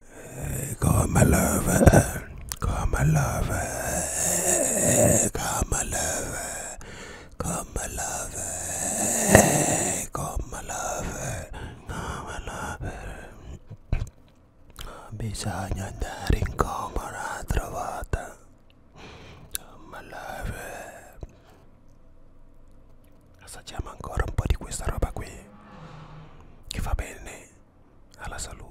Eh, come lover, come lover, come lover, come lover, come lover, come lover. Bisogna andare in coma un'altra volta. Come lover. Assaggiamo ancora un po' di questa roba qui. Che fa bene bene alla salute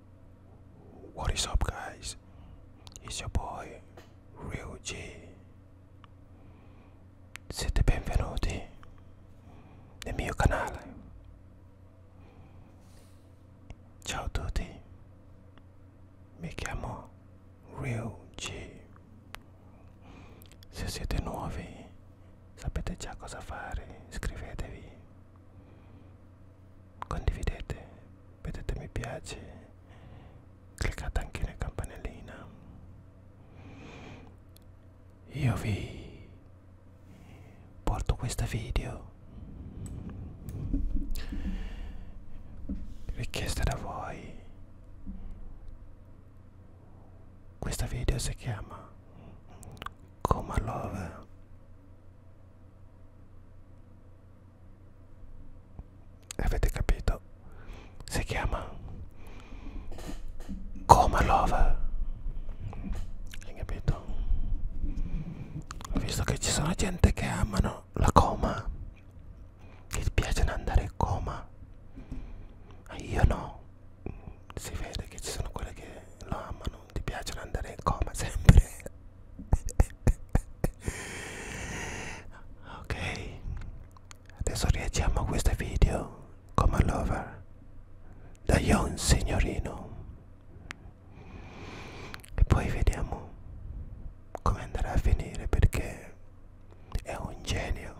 What is up, guys? It's your boy Real G. Siete benvenuti nel mio canale. Ciao a tutti, mi chiamo Real G. Se siete nuovi, sapete già cosa fare, iscrivetevi condividete mettete mi piace cliccate anche la campanellina io vi porto questo video richiesta da voi questo video si chiama Come Love avete capito si chiama Coma Love hai capito visto che ci sono gente che amano la coma che piace andare in coma io no si vede che ci sono quelle che lo amano ti piace andare in coma sempre ok adesso reagiamo a questo video come lover da Yon signorino e poi vediamo come andrà a finire perché è un genio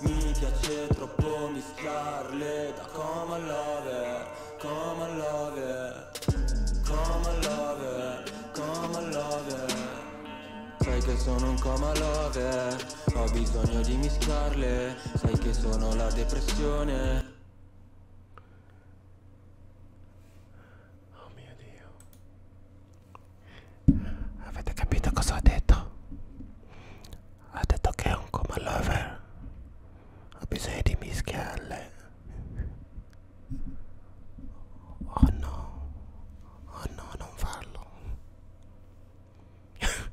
Mi piace troppo mischiarle da come love, come love, come love, come love Sai che sono un coma love, ho bisogno di mischiarle, sai che sono la depressione Oh mio Dio. Avete capito cosa ha detto? Ha detto che è un coma lover. Ha bisogno di mischiarle. Oh no. Oh no, non farlo.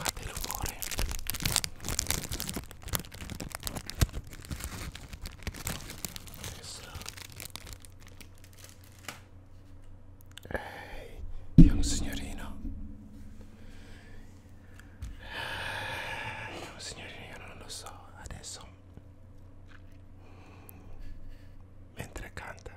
Fammi l'umore Adesso Ehi, hey, è un signorino Ehi, è un signorino, io non lo so Adesso Mentre canta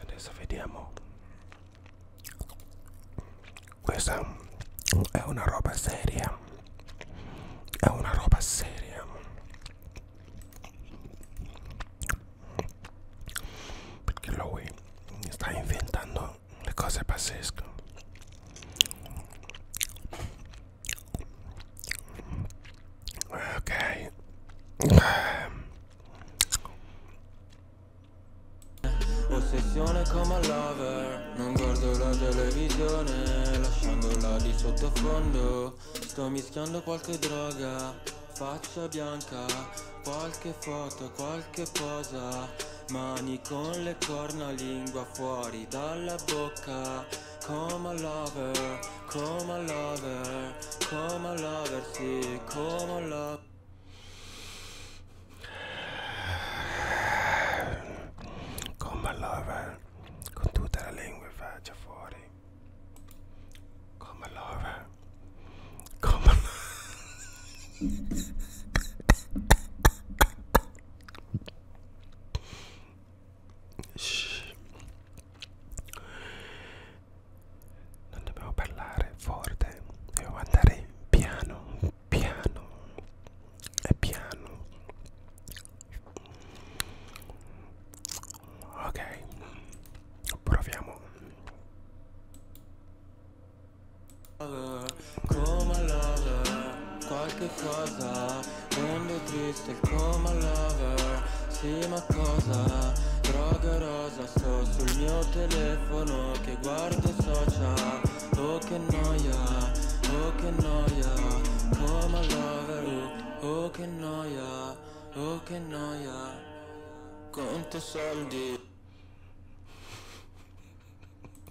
adesso vediamo questa è una roba seria è una roba seria perché lui sta inventando le cose pazzesche Ok. Ossessione come lover, non guardo la televisione, lasciandola di sottofondo, sto mischiando qualche droga, faccia bianca, qualche foto, qualche posa, mani con le corna, lingua fuori dalla bocca. Come a lover, come a lover, come a lover, sì, come a lover. Come a lover, con tutta la lingua e faccia fuori. Come a lover, come a lover. Shh. Non dobbiamo parlare forte, dobbiamo andare piano, piano e piano. Ok, proviamo. Come allora, qualche cosa quando triste il coma lover Sì ma cosa? Droga rosa sto sul mio telefono Che guardo social Oh che noia, oh che noia Coma lover, oh che noia Oh che noia Conto soldi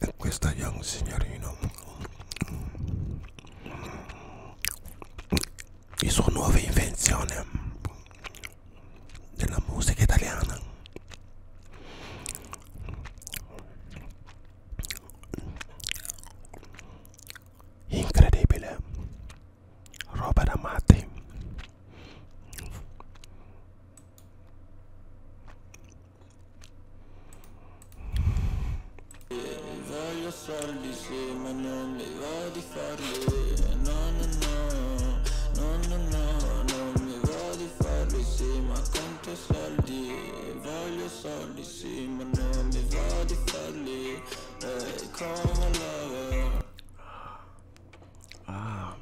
e questa young signorino e sua nuova invenzione della musica italiana incredibile roba da matti voglio soldi sì ma non mi va di farli no no no no no no non mi va di farli sì ma conto soldi voglio soldi sì ma non mi va di farli Ah,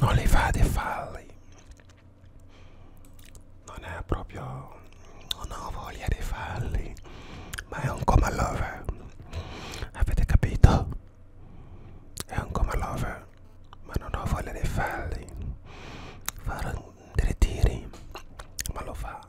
non li fate falli. Non è proprio... Non ho voglia di falli. Ma è un coma lover. Avete capito? È un coma lover. Ma non ho voglia di falli. Farò dei tiri. Ma lo fa.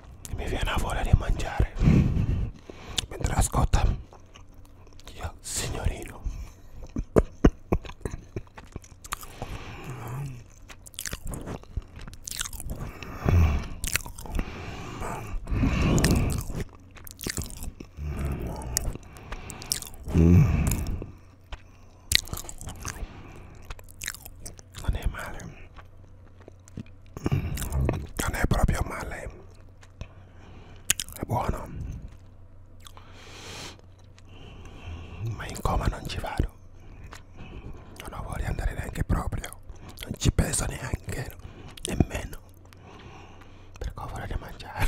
mi viene a voglia di mangiare mentre ascolta io signorino non è male non è proprio male è buono ma in coma non ci vado non ho voglia di andare neanche proprio non ci peso neanche nemmeno perché ho voglia di mangiare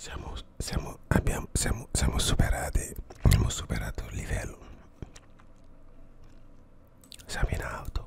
siamo, siamo, abbiamo, siamo, siamo superati, abbiamo superato il livello. Siamo in auto.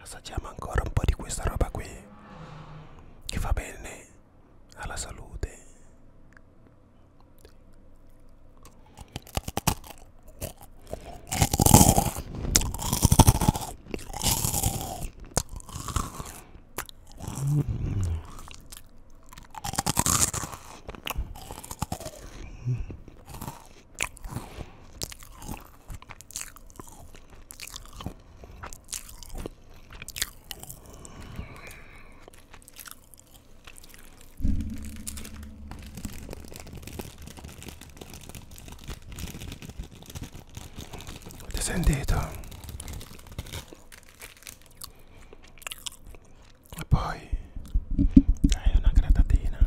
assaggiamo ancora un po' di questa roba qui che fa bene alla salute Avete sentito? E poi dai una gratatina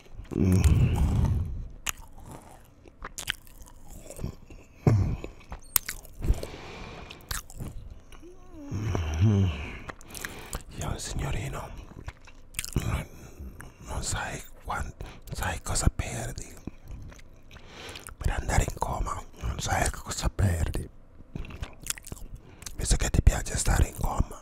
Io signorino, non, non sai, quanto, sai cosa perdi. Per andare in coma, non sai cosa perdi. Visto che ti piace stare in coma.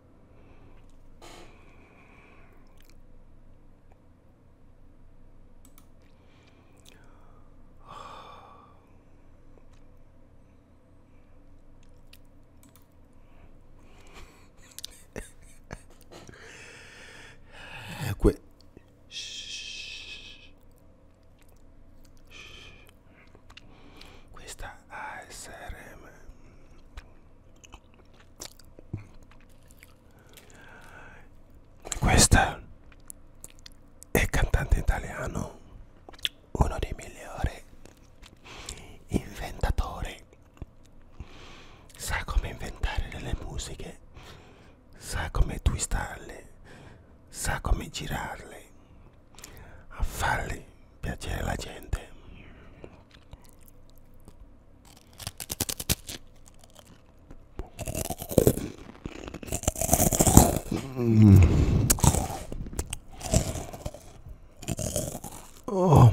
Eh, que shh, shh. Questa ASRM questo è il cantante italiano, uno dei migliori inventatori. Sa come inventare delle musiche, sa come twistarle, sa come girarle, a farle piacere alla gente oh. Oh.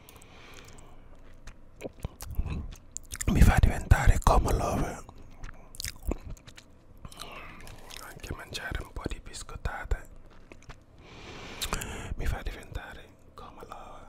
mi fa diventare come lover anche mangiare un po' di biscottate mi fa diventare come lover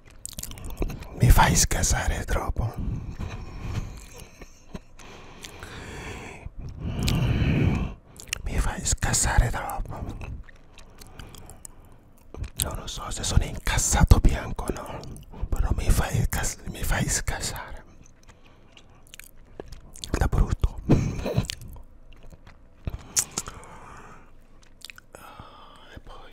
mi fai scassare troppo mi fai scassare troppo non lo so se sono incassato bianco no però mi fai, mi fai scassare da brutto ah, e poi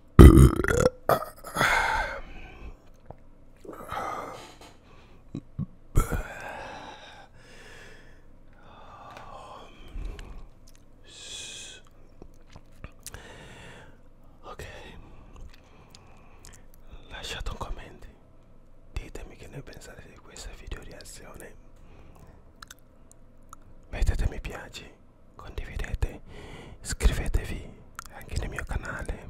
Ok, lasciate un commento, ditemi che ne pensate di questa video reazione, mettete mi piace condividete iscrivetevi anche nel mio canale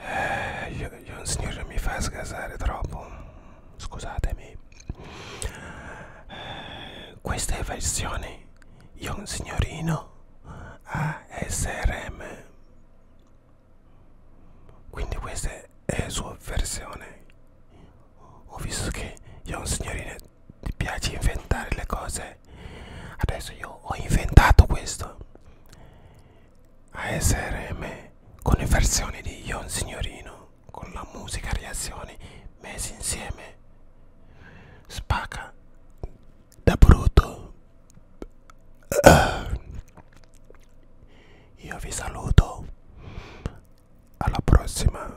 eh, il signore mi fa sgasare troppo scusatemi eh, questa è versione Yon signorino ASRM quindi questa è la sua versione ho visto che io un signorino ti piace inventare le cose adesso io ho inventato questo ASRM con le versioni di Ion Signorino con la musica reazioni messe insieme spacca da tá Bruto. eu vi saluto. Alla prossima.